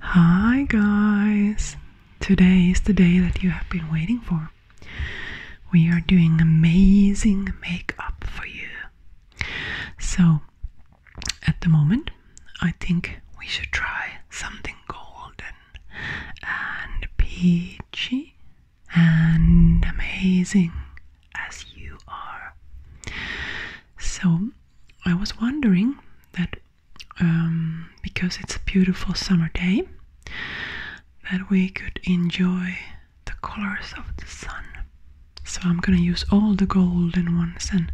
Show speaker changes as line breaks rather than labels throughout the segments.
Hi guys! Today is the day that you have been waiting for. We are doing amazing makeup for you. So, at the moment, I think we should try something golden and peachy and amazing as you are. So, I was wondering that um, because it's a beautiful summer day, that we could enjoy the colors of the sun. So I'm gonna use all the golden ones and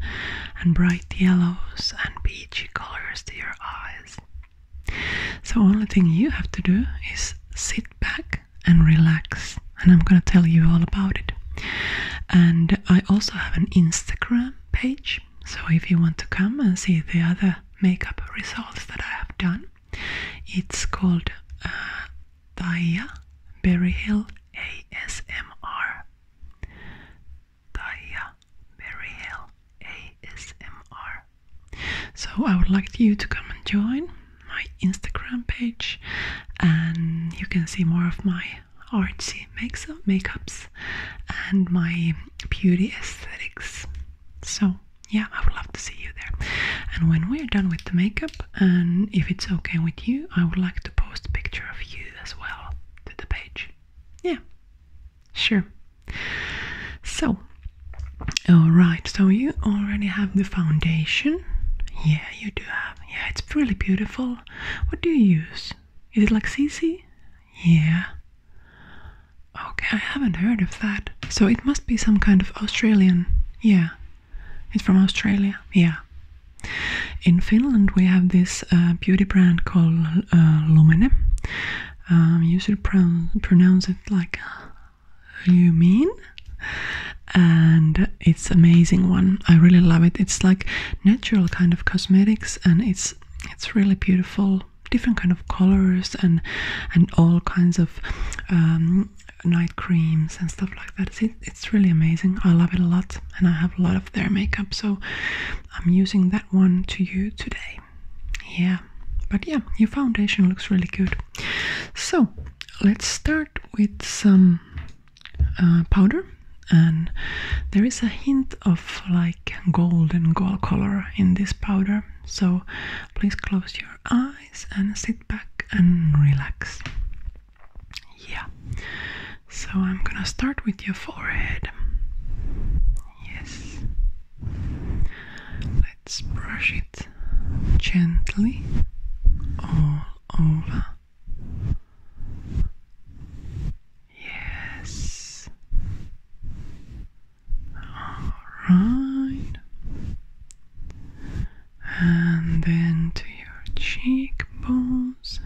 and bright yellows and peachy colors to your eyes. So only thing you have to do is sit back and relax and I'm gonna tell you all about it. And I also have an Instagram page, so if you want to come and see the other makeup results that I have done, it's called uh, Taya Berryhill ASMR. Taya Berryhill ASMR. So I would like you to come and join my Instagram page, and you can see more of my my artsy makes makeups and my beauty aesthetics. So yeah, I would love to see you there. And when we're done with the makeup, and if it's okay with you, I would like to post a picture of you as well to the page. Yeah, sure. So, all right. So you already have the foundation. Yeah, you do have yeah, it's really beautiful. What do you use? Is it like CC? Yeah. Okay, I haven't heard of that. So it must be some kind of Australian. Yeah. It's from Australia. Yeah. In Finland, we have this uh, beauty brand called uh, Lumene. Um, you should pronounce it like Lumine and it's amazing one. I really love it. It's like natural kind of cosmetics and it's it's really beautiful. Different kind of colors and and all kinds of um, night creams and stuff like that. It's, it's really amazing. I love it a lot and I have a lot of their makeup. So I'm using that one to you today. Yeah. But yeah, your foundation looks really good. So let's start with some uh, powder and there is a hint of like golden gold color in this powder so please close your eyes and sit back and relax yeah so i'm gonna start with your forehead yes let's brush it gently all over. Yes. All right. And then to your cheekbones.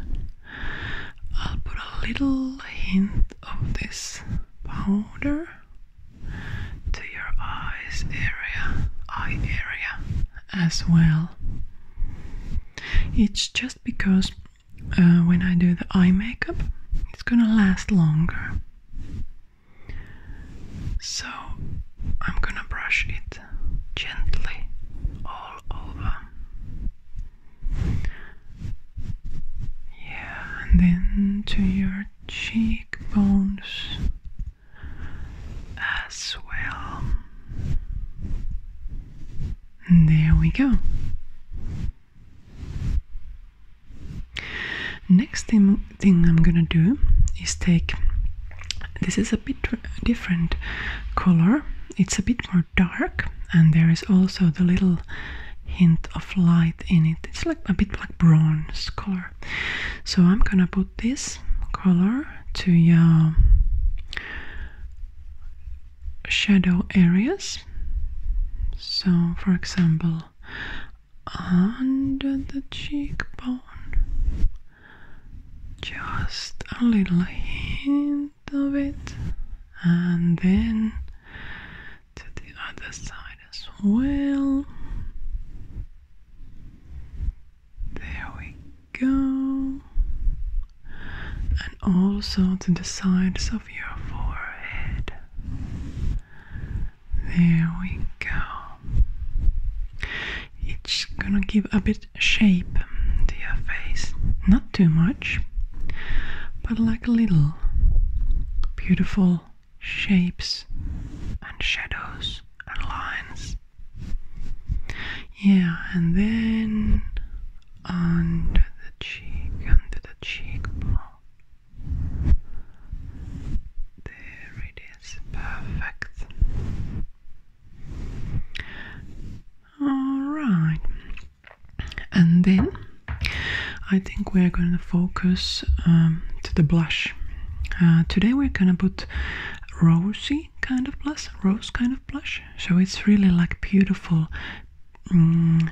I'll put a little hint of this powder to your eyes area, eye area as well. It's just because uh, when I do the eye makeup, it's gonna last longer. So I'm gonna brush it gently all over. Yeah, and then to your cheekbones as well. there we go. Next thing I'm gonna do is take this is a bit different color, it's a bit more dark, and there is also the little hint of light in it. It's like a bit like bronze color. So I'm gonna put this color to your shadow areas. So, for example, under the cheekbone, just a little hint of it, and then to the other side as well. There we go. And also to the sides of your forehead. There we go. It's gonna give a bit shape to your face. Not too much, but like a little beautiful shapes and shadows and lines. Yeah, and then under the cheek, under the cheekbone. There it is, perfect. All right, and then I think we are going to focus um, to the blush. Uh, today we're going to put rosy kind of blush, rose kind of blush. So it's really like beautiful mm,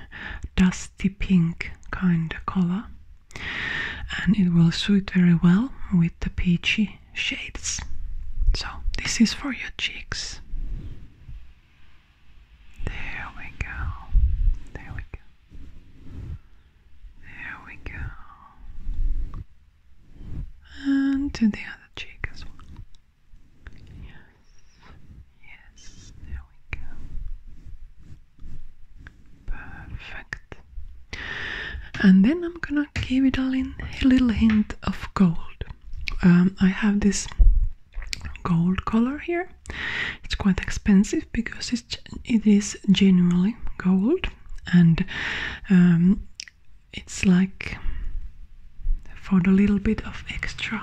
dusty pink kind of color. And it will suit very well with the peachy shades. So this is for your cheeks. There we go. There we go. There we go. And to the other cheek as well. Yes. Yes. There we go. Perfect. And then I'm gonna give it all in a little hint of gold. Um, I have this gold color here. It's quite expensive because it's, it is genuinely gold and um, it's like for the little bit of extra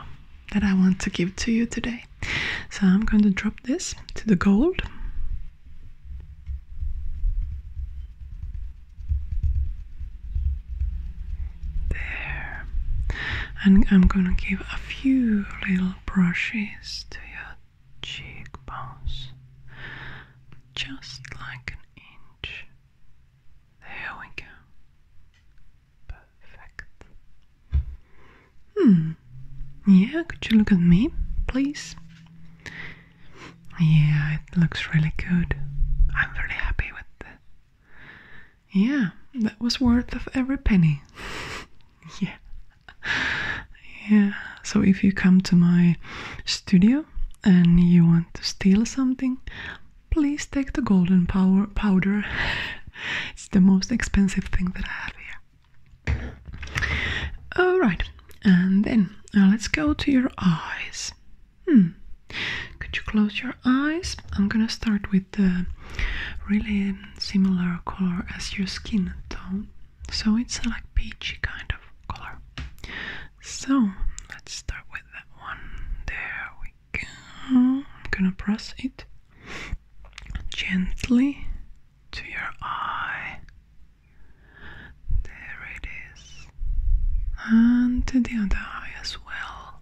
that I want to give to you today. So I'm going to drop this to the gold. There and I'm gonna give a few little brushes to your cheekbones, just like an inch. There we go. Perfect. Hmm. Yeah, could you look at me, please? Yeah, it looks really good. I'm really happy with it yeah, that was worth of every penny. yeah. Yeah. So if you come to my studio and you want to steal something, please take the golden power powder. it's the most expensive thing that I have here. All right. And then uh, let's go to your eyes. Hmm. Could you close your eyes? I'm gonna start with the really similar color as your skin tone. So it's like peachy kind of color. So let's start with that one. There we go. I'm gonna press it gently to your eye. There it is. And to the other eye as well.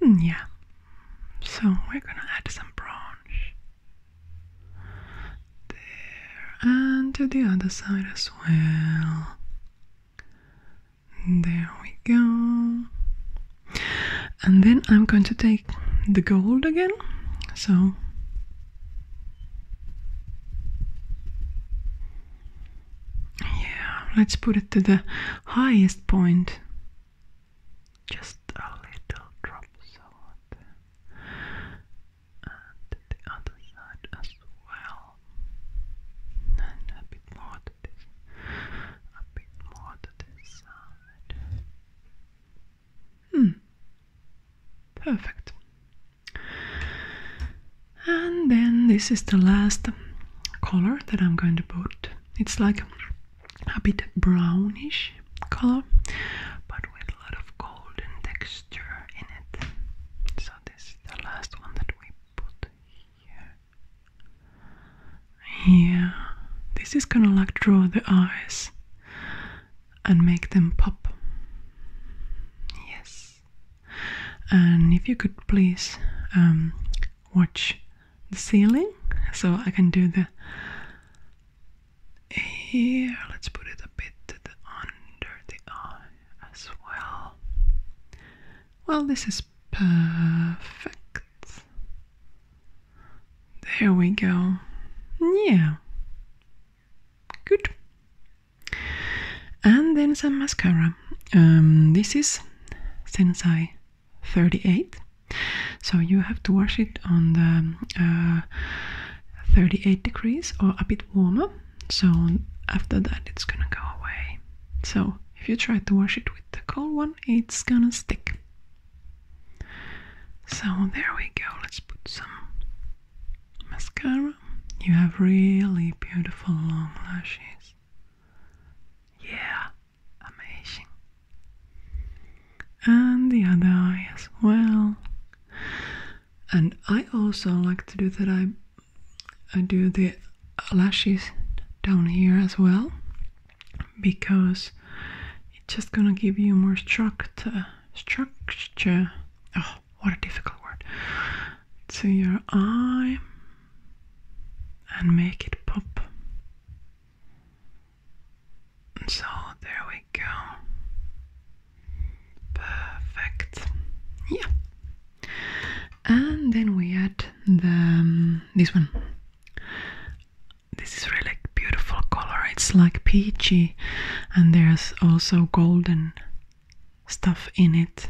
Hmm, yeah. So we're gonna add some branch there and to the other side as well. There we go. And then I'm going to take the gold again. So yeah, let's put it to the highest point. Just a little drop, and the other side as well. And a bit more to this, a bit more to this side. Hmm. Perfect and then this is the last color that I'm going to put it's like a bit brownish color but with a lot of golden texture in it so this is the last one that we put here yeah this is gonna like draw the eyes and make them pop yes and if you could please um, watch the ceiling so I can do the here let's put it a bit under the eye as well well this is perfect there we go yeah good and then some mascara. Um, this is Sensai 38. So you have to wash it on the uh, 38 degrees or a bit warmer. So after that, it's gonna go away. So if you try to wash it with the cold one, it's gonna stick. So there we go. Let's put some Mascara, you have really beautiful long lashes. Yeah, amazing. And the other eye as well. And I also like to do that. I do the lashes down here as well because it's just gonna give you more structure structure oh what a difficult word, to your eye and make it pop. So there we go. Perfect. Yeah. And then we add the um, this one. This is really beautiful color. It's like peachy, and there's also golden stuff in it.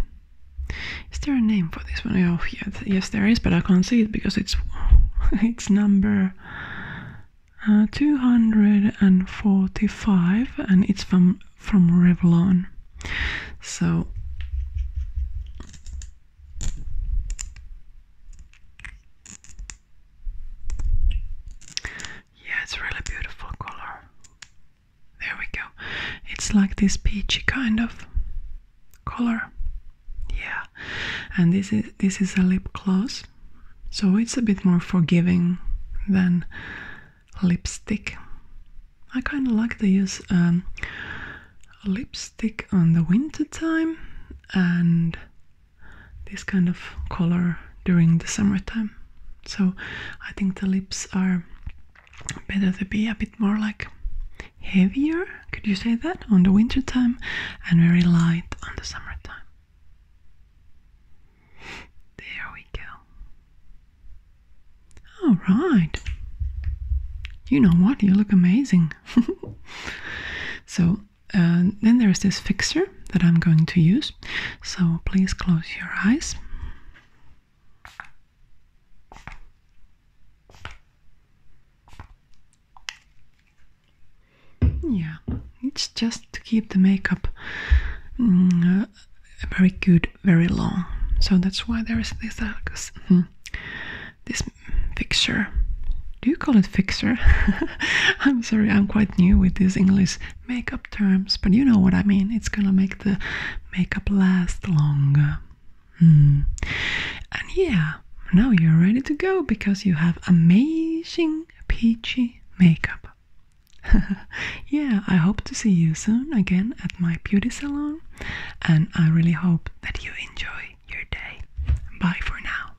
Is there a name for this one? Oh, yes, there is, but I can't see it because it's it's number uh, 245 and it's from from Revlon. So yeah, it's really beautiful color. There we go. It's like this peachy kind of color. Yeah. And this is this is a lip gloss. So it's a bit more forgiving than lipstick. I kind of like to use um, lipstick on the winter time and this kind of color during the summertime. So I think the lips are better to be a bit more like heavier, could you say that, on the wintertime and very light on the summertime. There we go. All right. You know what? You look amazing. so uh, then there's this fixture that I'm going to use. So please close your eyes. Yeah, it's just to keep the makeup mm, uh, very good, very long. So that's why there is this uh, this hmm, fixture. Do you call it fixture? I'm sorry, I'm quite new with this English makeup terms, but you know what I mean. It's gonna make the makeup last longer. Hmm. And yeah, now you're ready to go because you have amazing peachy makeup. yeah, I hope to see you soon again at my beauty salon, and I really hope that you enjoy your day. Bye for now.